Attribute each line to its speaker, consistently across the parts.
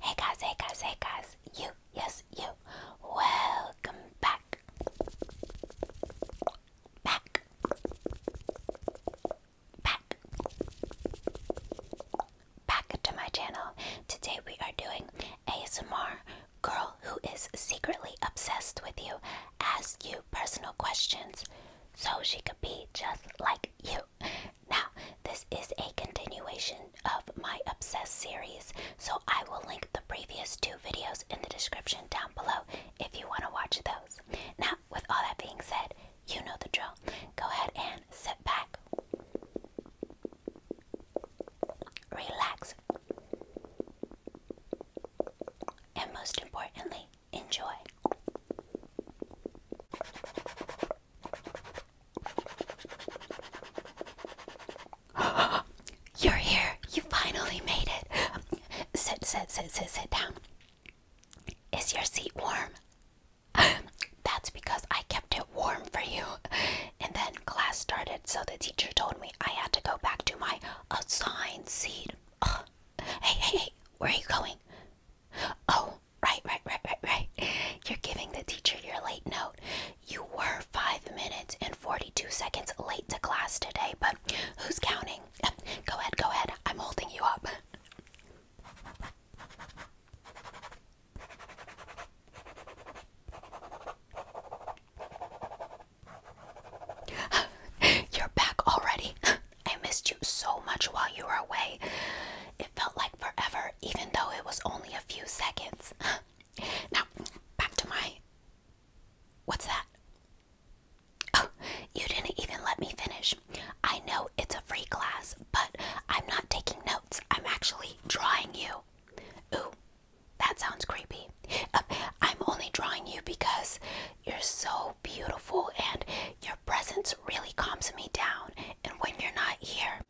Speaker 1: Hey guys, hey guys, hey guys, you, yes, you, welcome back, back, back, back to my channel. Today we are doing ASMR girl who is secretly obsessed with you, ask you personal questions so she could be just like you. Now, this is a continuation of my Obsessed series, so I will link the previous two videos in the description down below if you want to watch those. Now, with all that being said, you know the drill. Go ahead and sit back, relax, and most importantly, Enjoy. You're here. You finally made it. Sit, sit, sit, sit, sit down. Is your seat warm? That's because I kept it warm for you. And then class started, so the teacher told me I had to go back to my assigned seat. Hey, hey, hey, where are you going? Oh, Right, right, right, right, right. You're giving the teacher your late note. You were 5 minutes and 42 seconds late to class today, but who's counting? Go ahead, go ahead. I'm holding you up. You're back already. I missed you so much while you were away. It felt like forever, even though it was only a few seconds. now, back to my. What's that? Oh, you didn't even let me finish. I know it's a free class, but I'm not taking notes. I'm actually drawing you. Ooh, that sounds creepy. Uh, I'm only drawing you because you're so beautiful and you're your presence really calms me down, and when you're not here,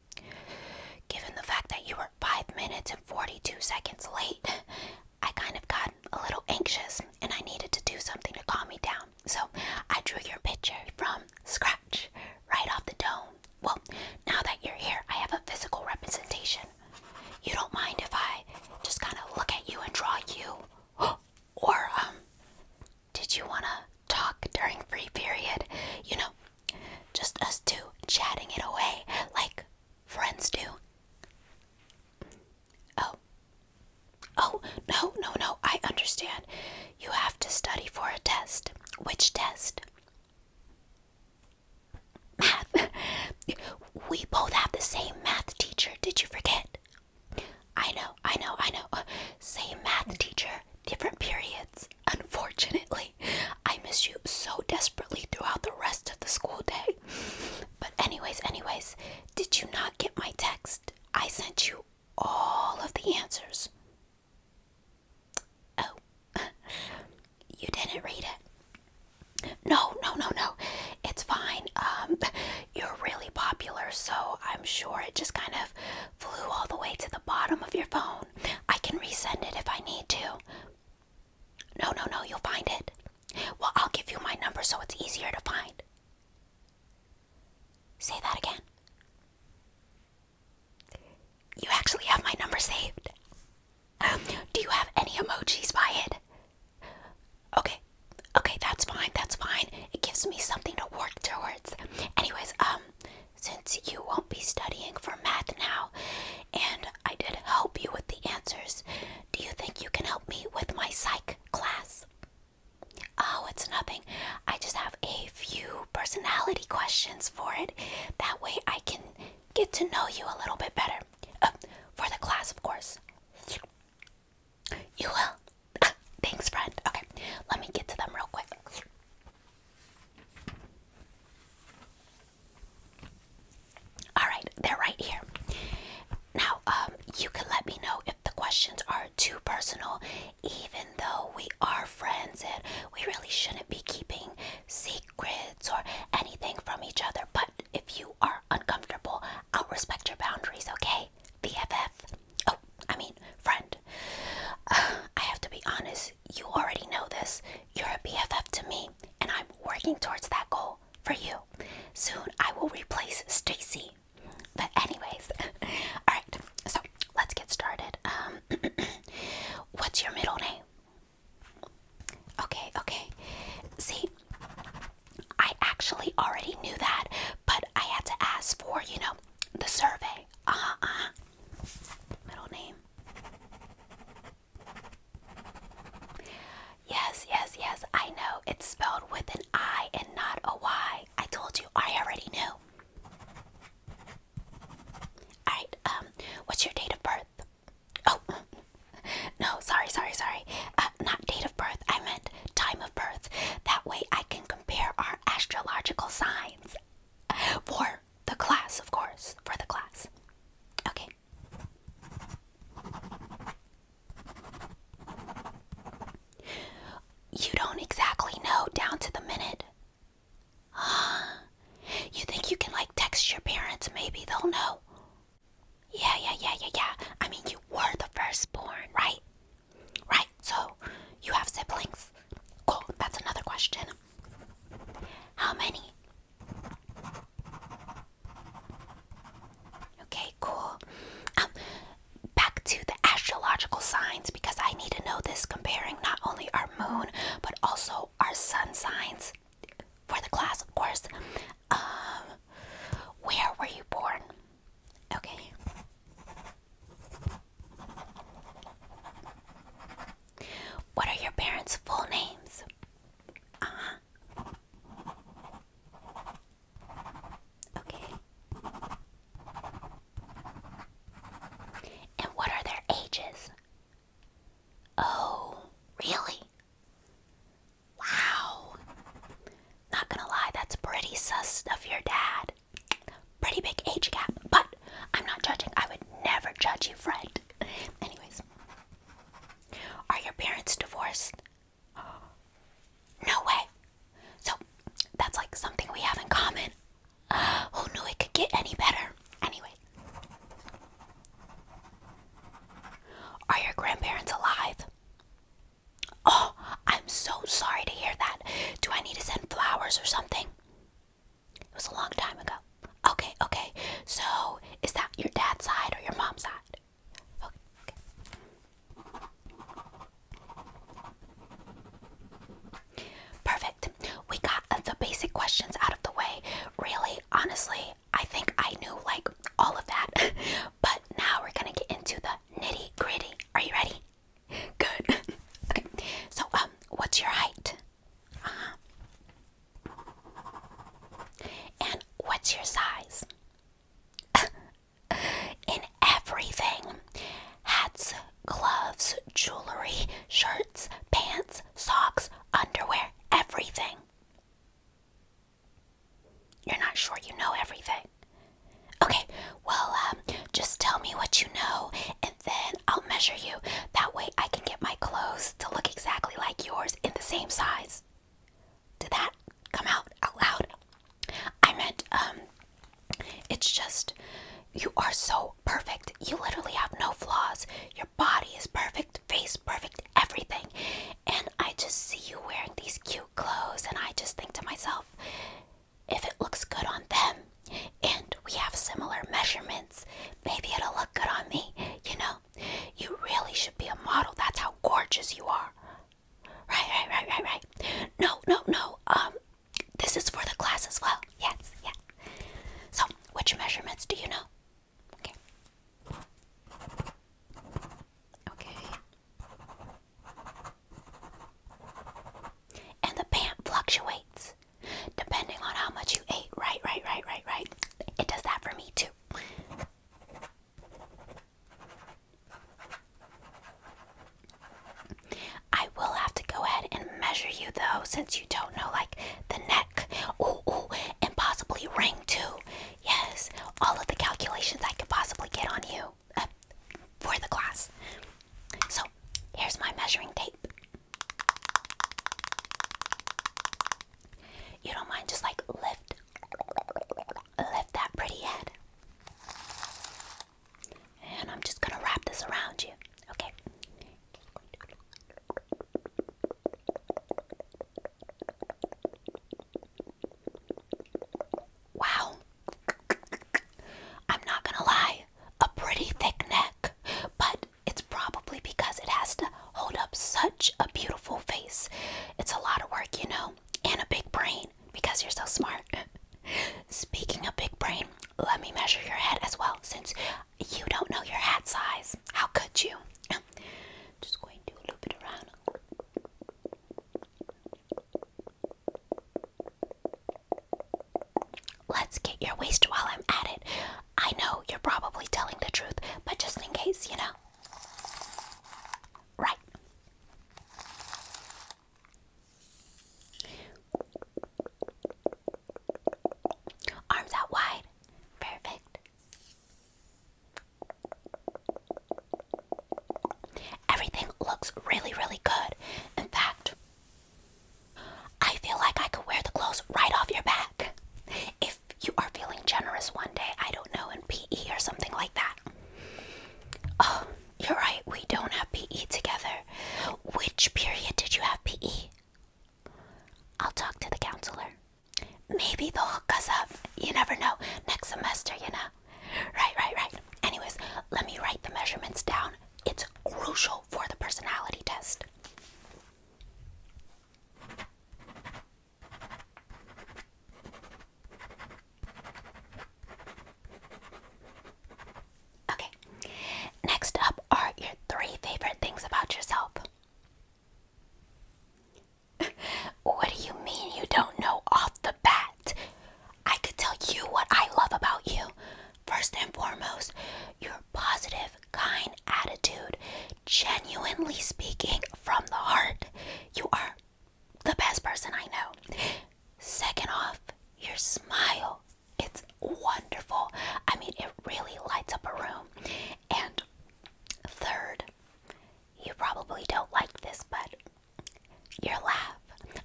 Speaker 1: given the fact that you were 5 minutes and 42 seconds late, I kind of got a little anxious and I needed to do something to calm me down. So I drew your picture from scratch, right off the dome. Well, now that you're here, I have a physical representation. You don't mind if I just kind of look at you and draw you? Or, um, did you want to talk during free period? You know, just us two chatting it away like friends do. Oh. Oh, no, no, no, I understand. You have to study for a test. Which test? Math. we both have the same math teacher. Did you forget? I know, I know, I know. Uh, same math teacher, different periods. Unfortunately, I miss you so desperately throughout the rest of the school day. But, anyways, anyways, did you not get my text? I sent you all of the answers. Oh, you didn't read it. No, no, no, no. It's fine. Um, you're really popular, so I'm sure it just kind of flew all the way to the bottom of your phone. I can resend it if I need to. No, no, no, you'll find it. Well, I'll give you my number so it's easier to find. Say that again. You actually have my number saved. do you have any emojis by it? Okay, okay, that's fine, that's fine. It gives me something to work towards. Anyways, um, since you won't be studying for math now, and I did help you with the answers, do you think you can help me with my psych class? Oh, it's nothing. I just have a few personality questions for it. That way I can get to know you a little bit better. Uh, for the class, of course. You will. Ah, thanks, friend. Okay, let me get to them real quick. All right, they're right here. Now, um, you can let me know if the questions are too personal, even though we are friends and we really shouldn't be keeping secrets or anything from each other. But if you are uncomfortable, I'll respect your boundaries, okay? my BFF. Oh, I mean, friend. Uh, I have to be honest, you already know this. You're a BFF to me, and I'm working towards that goal for you. Soon I will replace Stacy. But, anyways, alright, so let's get started. Um, what's your middle name? Okay, okay. See, I actually already knew that, but I had to ask for, you know, the survey. Uh Uh Middle name. Yes, yes, yes. I know it's spelled with an I and not a Y. I told you. I already knew. All right. Um. What's your date of birth? Oh. No. Sorry. Sorry. Sorry. Uh, not date of birth, I meant time of birth. That way I can compare our astrological signs for the class, of course, for the class. Okay. You don't exactly know down to the minute. You think you can like text your parents? Maybe they'll know. Yeah, yeah, yeah, yeah, yeah. I mean, you were the firstborn, right? Right, so you have siblings. Cool, that's another question. How many? Okay, cool. Um, back to the astrological signs because I need to know this comparing not only our moon but also our sun signs for the class, of course. Um, where were you born? Okay. What are your parents' full names? Uh huh. Okay. And what are their ages? Oh, really? Wow. Not gonna lie, that's pretty sus of your dad. Pretty big age gap, but I'm not judging. I would never judge you, Fred. Anyways, are your parents divorced? No way. So that's like something we have in common. Who knew it could get any better? Anyway, are your grandparents alive? Oh, I'm so sorry to hear that. Do I need to send flowers or something? It was a long time ago. Okay, okay. So, is that your dad's side or your mom's side? Perfect. We got the basic questions out of the way. Really, honestly, I think I knew like all of that, but now we're gonna get into the nitty gritty. Are you ready? Good. okay. So, um, what's your height? Uh huh. And what's your size? In everything hats, gloves, jewelry, shirts, pants, socks, underwear, everything. You're not sure you know everything. Okay, well, um, just tell me what you know and then I'll measure you. That way I can get my clothes to look exactly like yours in the same size. Did that come out out loud? I meant, um, it's just, you are so perfect. You literally have no flaws. Your body is perfect, face perfect, everything. And I just see you wearing these cute clothes, and I just think to myself, if it looks good on them and we have similar measurements, maybe it'll look good on me. You know, you really should be a model. That's how gorgeous you are. Right, right, right, right, right. No, no, no. Um, this is for the class as well. Yes, yeah. So, which measurements do you know? Okay. Okay. And the pant fluctuates depending on how much you ate. Right, right, right, right, right. It does that for me too. I will have to go ahead and measure you though, since you don't know like the neck, ooh, ooh, and possibly ring too. Yes, all of the calculations I could possibly get on you uh, for the class. So, here's my measuring tape. You don't mind just like lift lift that pretty head. And I'm just going to wrap this around you. Okay. Wow. I'm not gonna lie, a pretty thick neck, but it's probably because it has to hold up such a beautiful face. It's a lot of work, you know, and a big brain because you're so smart. Speaking of big brain, let me measure your head as well since you don't know your hat size. How could you? Just going to do a little bit around. Let's get your waist while I'm at it. I know you're probably telling the truth, but just in case, you know. Right. Arms out wide. Perfect. Everything looks really, really good. In fact, I feel like I could wear the clothes right off your back. If you are feeling generous one day, I don't know, in PE or something like that. Oh, you're right, we don't have PE together. Which period did you have PE? I'll talk to the counselor. Maybe they'll hook us up. You never know. Next semester, you know. Right, right, right. Anyways, let me write the measurements down. It's crucial for the personality test. Okay, next up are your three favorite things about yourself what do you mean you don't know off the bat? I could tell you what I love about you. First and foremost, your positive, kind attitude, genuinely speaking from the heart. You are the best person I know. Second off, your smile. It's wonderful. I mean, it really lights up a room. And third, you probably don't like this, but your laugh.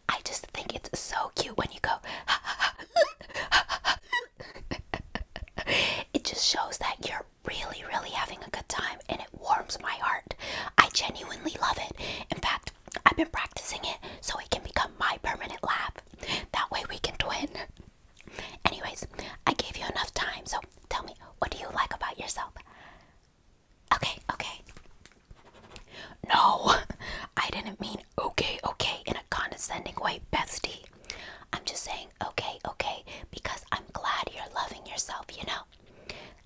Speaker 1: I just think it's so cute when you go. it just shows that you're really, really having a good time and it warms my heart. I genuinely love it. In fact, I've been practicing it so it can become my permanent laugh. That way we can twin. Anyways, I gave you enough time, so tell me, what do you like about yourself? Okay, okay. No, I didn't mean okay, okay in a condescending way, bestie. I'm just saying okay, okay, because I'm glad you're loving yourself, you know?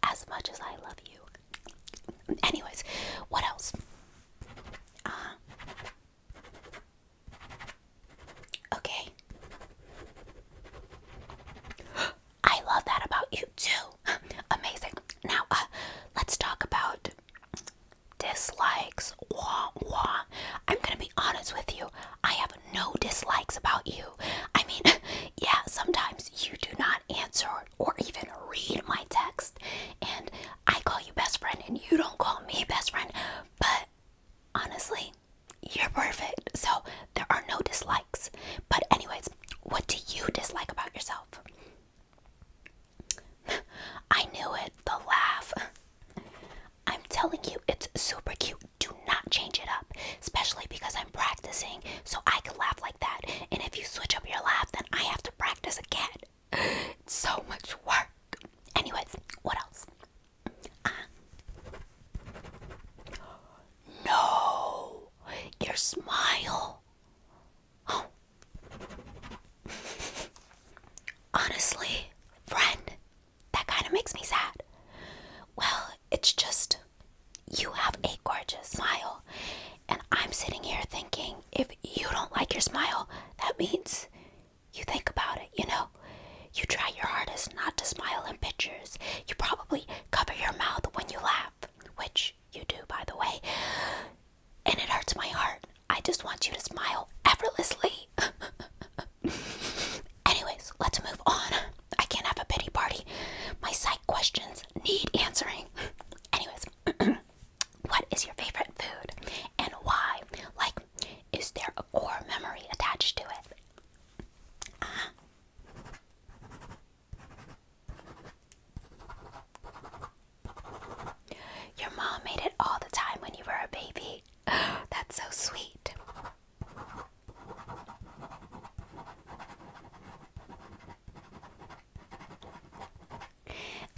Speaker 1: As much as I love you. Anyways, what else? Uh, Okay. I love that about you too. Amazing. Now, uh, let's talk about dislikes. Wah, wah. I'm gonna be honest with you. I have no dislikes about you. I mean, yeah, sometimes you do not answer or even read my text, and I call you best friend, and you don't call me best friend, but honestly, you're perfect. So there are no dislikes. But, anyways, what do you dislike about yourself? I knew it. The laugh. I'm telling you, it's super cute. Do not change it up, especially because I'm practicing so I can laugh like that. And if you switch up your laugh, then I have to practice again. It's so much work. Anyways, what else? No, your smile. Oh. Honestly, friend, that kind of makes me sad. Well, it's just you have a gorgeous smile, and I'm sitting here thinking if you don't like your smile, that means you think about it, you know? You try your hardest not to smile in pictures. You probably cover your mouth when you laugh, which you do, by the way. And it hurts my heart. I just want you to smile effortlessly. Anyways, let's move on. I can't have a pity party. My psych questions need answering. Anyways, what is your favorite food and why? Like is there a core memory attached to it? Uh-huh. Your mom made it all the time when you were a baby. That's so sweet.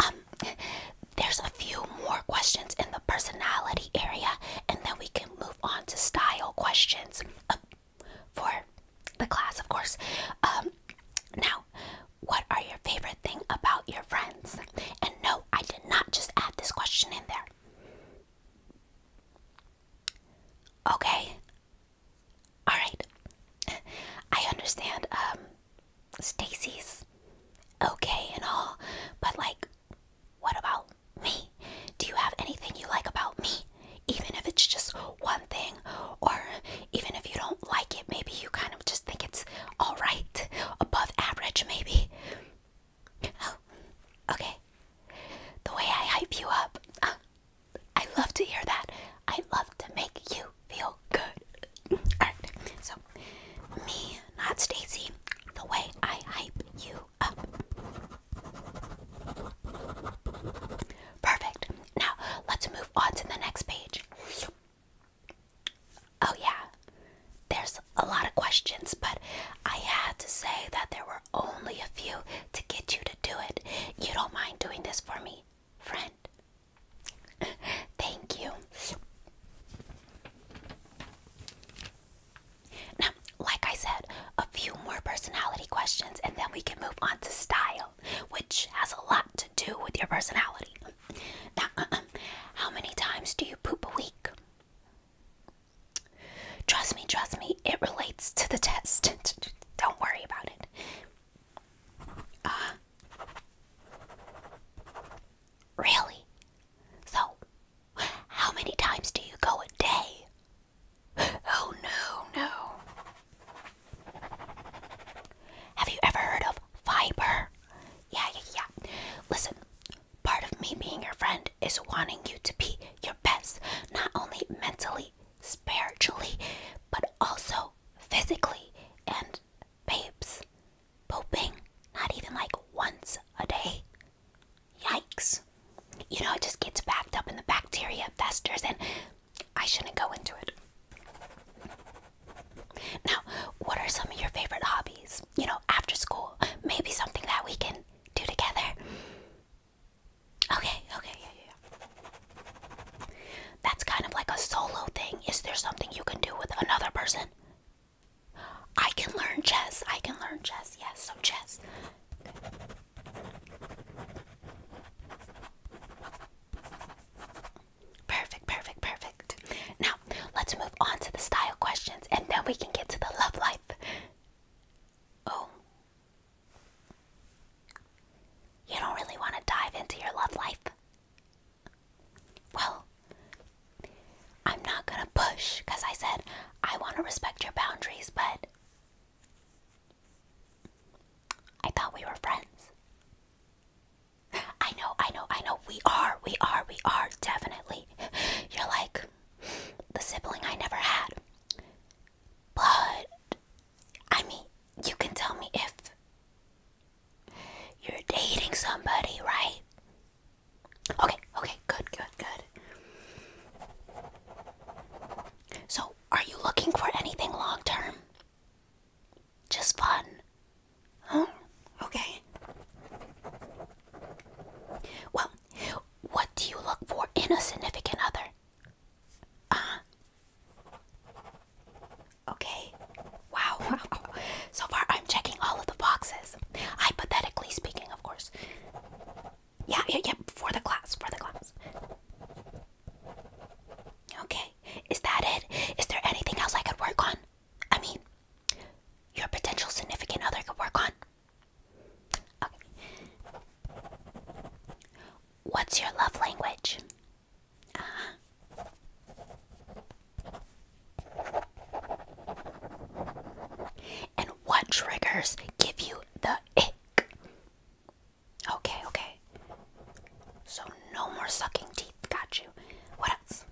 Speaker 1: Um, there's a few more questions in the personality area, and then we move on to style questions uh, for the class, of course. Um, now, what are your favorite thing about your friends? And no, I did not just add this question in there. Okay. All right. I understand um Stacy's okay and all, but like what about me? Do you have anything you like about me? Even if it's just one thing, or even if you don't like it, maybe you kind of just think it's alright, above average, maybe. Oh, okay. The way I hype you up, uh, I love to hear that. I love to make you feel good. Alright, so me, not Stacy the way I hype you up. Perfect. Now, let's move on to the next page. Oh, yeah, there's a lot of questions, but I had to say that there were only a few to get you to do it. You don't mind doing this for me, friend. Thank you. Now, like I said, a few more personality questions and then we can move on to style, which has a lot to do with your personality. Now, uh-uh. how many times do you poop a week? Trust me, trust me, it relates to the test. Don't worry about it. Uh, really? So, how many times do you go a day? Oh no, no. Have you ever heard of fiber? Yeah, yeah, yeah. Listen, part of me being your friend is wanting you to be your best, not only mentally, spiritually, but also physically. And babes, pooping, not even like once a day. Yikes. You know, it just gets backed up in the bacteria festers, and I shouldn't go into it. Now, what are some of your favorite hobbies? You know, after school, maybe something that we can do together. Okay, okay, yeah, yeah. That's kind of like a solo thing. Is there something you can do with another person? I can learn chess. I can learn chess. Yes, so chess. Perfect, perfect, perfect. Now, let's move on to the style questions and then we can get to the love life. Oh. You don't really want to dive into your love life? Well, I'm not gonna push because I said I want to respect your boundaries, but I thought we were friends. I know, I know, I know. We are, we are, we are, definitely. You're like the sibling I never had. But, I mean, you can tell me if you're dating somebody, right? Okay, okay, good, good, good. So, are you looking for anything long term? Just fun. Huh? Okay. Well, what do you look for in a significant other? Uh Okay. Wow, So far, I'm checking all of the boxes. Hypothetically speaking, of course. Yeah, yeah, yeah. For the class, for the class. Okay, is that it? Is there anything else I could work on? I mean, your potential significant other could work on. Okay. What's your love language? Uh-huh. And what triggers give you the ick? Okay, okay. So no more sucking teeth. Got you. What else?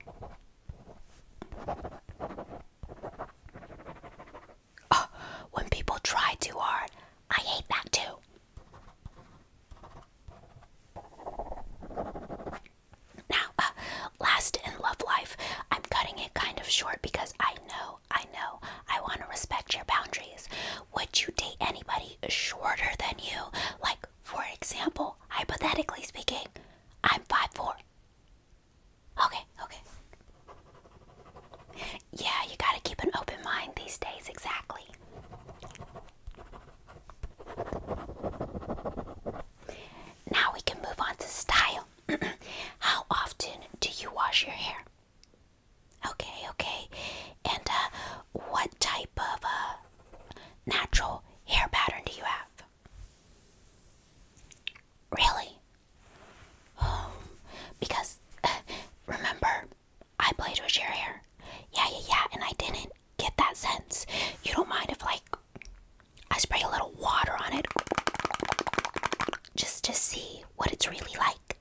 Speaker 1: Oh, when people try too hard, I hate that too. Now, uh, last in love life, I'm cutting it kind of short because I know, I know, I want to respect your boundaries. Would you date anybody shorter than you? Like, for example, hypothetically speaking, I'm 5'4. Okay, okay. Yeah, you gotta keep an open mind these days, exactly. Now we can move on to style. How often do you wash your hair? Okay, okay. And uh, what type of uh, natural hair pattern do you have? Really? Oh, because remember, I played with your hair. Yeah, yeah, yeah, and I didn't get that sense. You don't mind if like I spray a little water on it just to see what it's really like.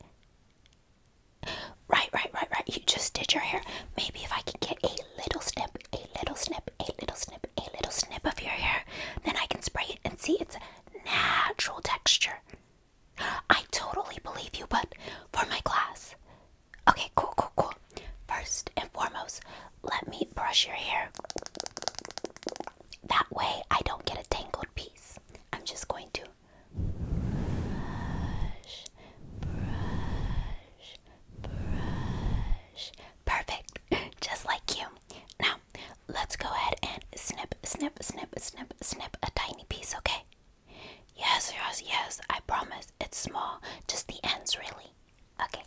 Speaker 1: Right, right, right, right. You just did your hair. Maybe if I can get a little snip, a little snip, a little snip, a little snip of your hair, then I can spray it and see its natural texture. I totally believe you, but for my class, Okay, cool, cool, cool. First and foremost, let me brush your hair. That way I don't get a tangled piece. I'm just going to brush, brush, brush. Perfect, just like you. Now, let's go ahead and snip, snip, snip, snip, snip a tiny piece, okay? Yes, yes, yes, I promise. It's small, just the ends, really. Okay.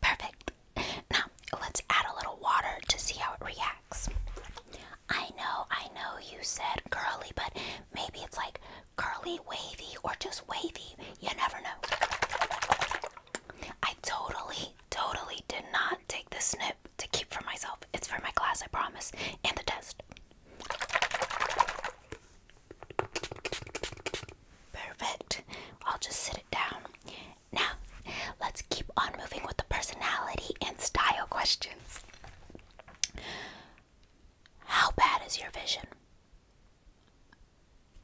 Speaker 1: Perfect. Now, let's add a little water to see how it reacts. I know, I know you said curly, but maybe it's like curly wavy or just wavy. You never know. I totally, totally did not take the snip to keep for myself. It's for my class, I promise, and the test. Perfect. I'll just sit it down. Now, let's keep on moving with the personality and style questions. How bad is your vision?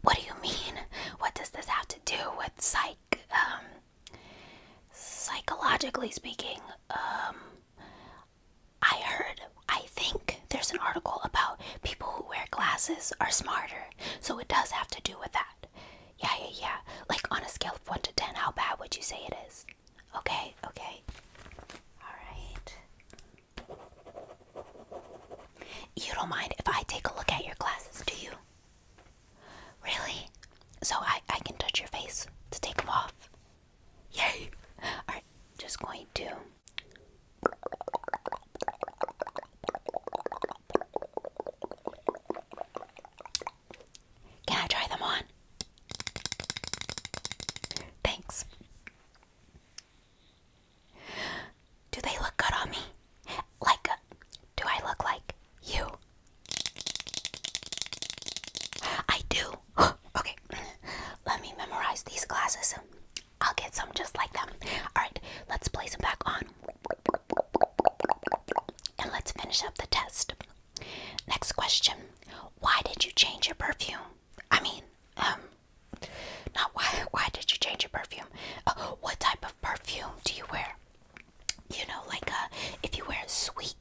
Speaker 1: What do you mean? What does this have to do with psych? Um, psychologically speaking, um, I heard, I think there's an article about people who wear glasses are smarter. So it does have to do with that. Yeah, yeah, yeah. Like on a scale of 1 to 10, how bad would you say it is? Okay, okay. Alright. You don't mind if I take a look at your glasses, do you? Really? So I, I can touch your face to take them off? Yay! I'm just going to. Can I try them on? Thanks. Do they look good on me? Like, uh, do I look like you? I do. okay, let me memorize these glasses. I'll get some just like them. Alright, let's place them back on. And let's finish up the test. Next question Why did you change your perfume? I mean, um, not why, why did you change your perfume? Uh, what type of perfume do you wear? You know, like uh, if you wear sweet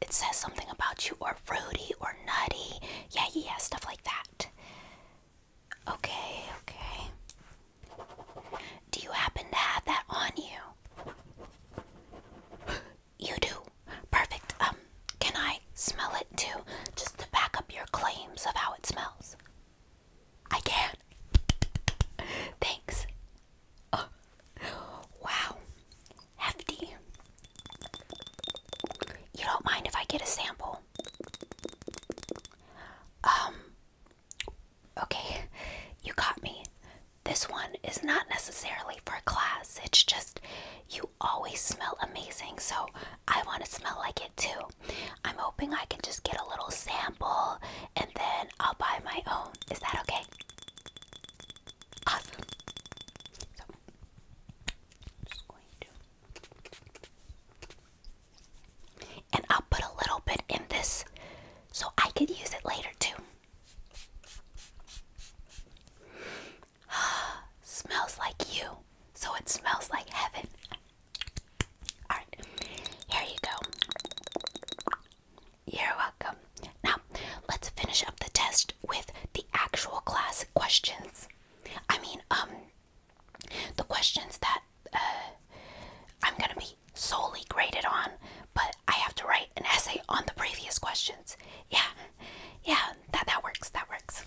Speaker 1: it says something about you, or fruity, or nutty. Yeah, yeah, stuff like that. Okay, okay. Do you happen to have that on you? You do. Perfect. Um, can I smell it too? Just to back up your claims of how it smells. I can. Thanks. Oh, wow hefty. You don't mind if I get a sample? Um, okay, you got me. This one is not necessarily for class, it's just you always smell amazing, so I want to smell like it too. I'm hoping I can just get a little sample and then I'll buy my own. Is that okay? Awesome. And I'll put a little bit in this so I could use it later too. smells like you, so it smells like heaven. Alright, here you go. You're welcome. Now, let's finish up the test with the actual class questions. I mean, um, the questions that uh, I'm gonna be solely graded on, but I have to write an essay on the previous questions. Yeah, yeah, that that works. That works.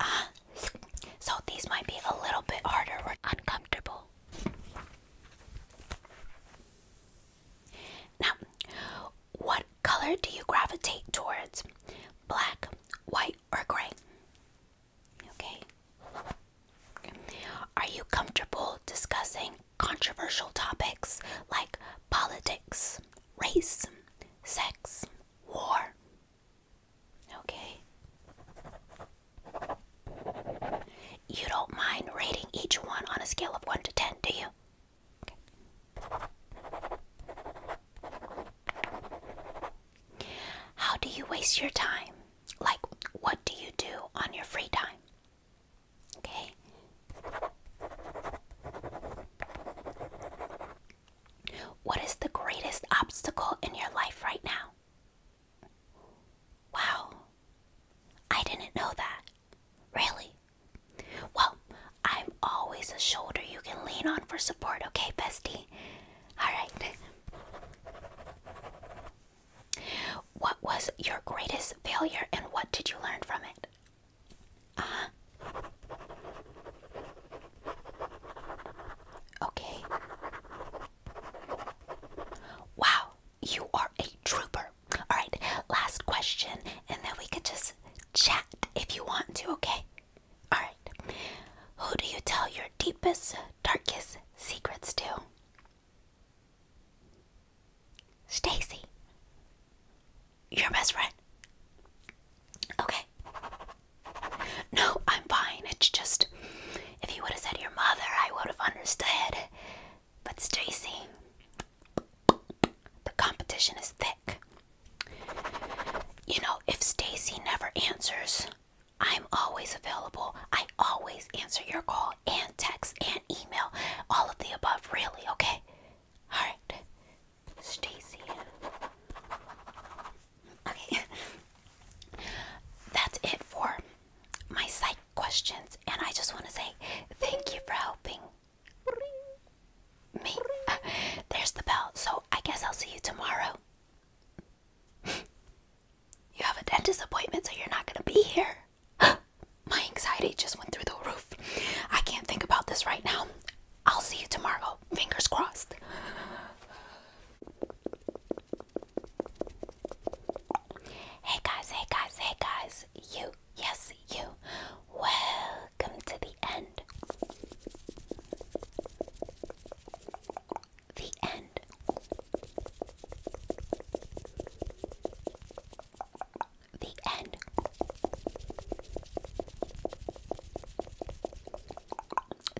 Speaker 1: Uh, so these might be a little bit harder or uncomfortable. Now, what color do you gravitate towards? Black, white, or gray? Okay. Are you comfortable discussing controversial topics like politics, race, sex, war? Okay. You don't mind rating each one on a scale of 1 to 10, do you? How do you waste your time? Like, what do you do on your free time? Okay. What is the greatest obstacle in your life right now? Wow. I didn't know that. Really? Well, I'm always a shoulder you can lean on for support, okay, bestie? Alright. What was your greatest failure and what did you learn from it? Uh Okay. Wow, you are a trooper. All right, last question, and then we could just chat if you want to, okay? All right. Who do you tell your deepest, darkest secrets to? Stacy. Your best friend. Okay. No, I'm fine. It's just if you would have said your mother, I would have understood. But Stacy, the competition is thick. You know, if Stacy never answers, I'm always available. I always answer your call and text and email. All of the above, really, okay? Alright. Stacy. Okay. That's it for my site questions. And I just want to say thank you for helping me. There's the bell. So I guess I'll see you tomorrow. you have a dentist appointment, so you're not going to be here. My anxiety just went through the roof. I can't think about this right now. I'll see you tomorrow. Fingers crossed. Hey guys, hey guys, hey guys you, yes, you. Welcome to the end. The end. The end.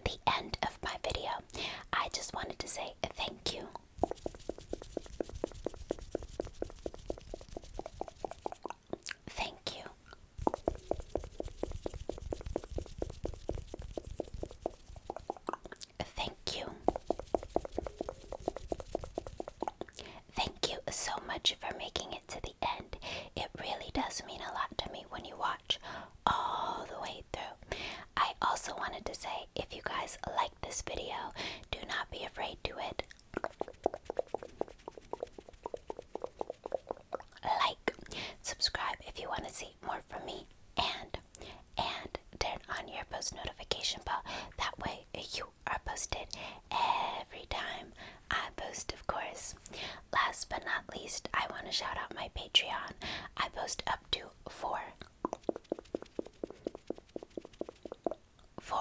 Speaker 1: The end of my video. I just wanted to say thank you Thank you. Thank you. Thank you so much for making it to the end. It really does mean a lot to me when you watch all the way through. I also wanted to say if you guys like this video, do not be afraid to it. Like, subscribe if you want to see more from me, and and turn on your post notification bell. That way, you are posted every time I post, of course. Last but not least, I want to shout out my Patreon. I post up to four four,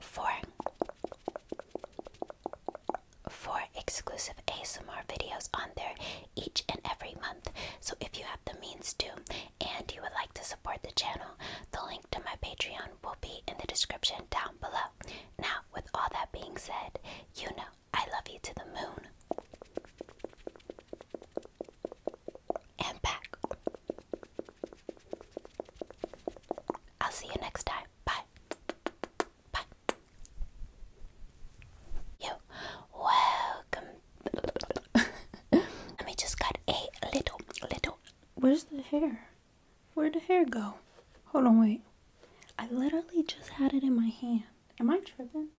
Speaker 1: four, four exclusive ASMR videos on there each and every month. So if you have the means to and you would like to support the channel, the link to my Patreon will be in the description down below. Now, with all that being said, you know I love you to the moon and back. I'll see you next time. Bye. Bye. Yo, welcome. Let me just cut a little, little. Where's the hair? Where'd the hair go? Hold on, wait. I literally just had it in my hand. Am I tripping?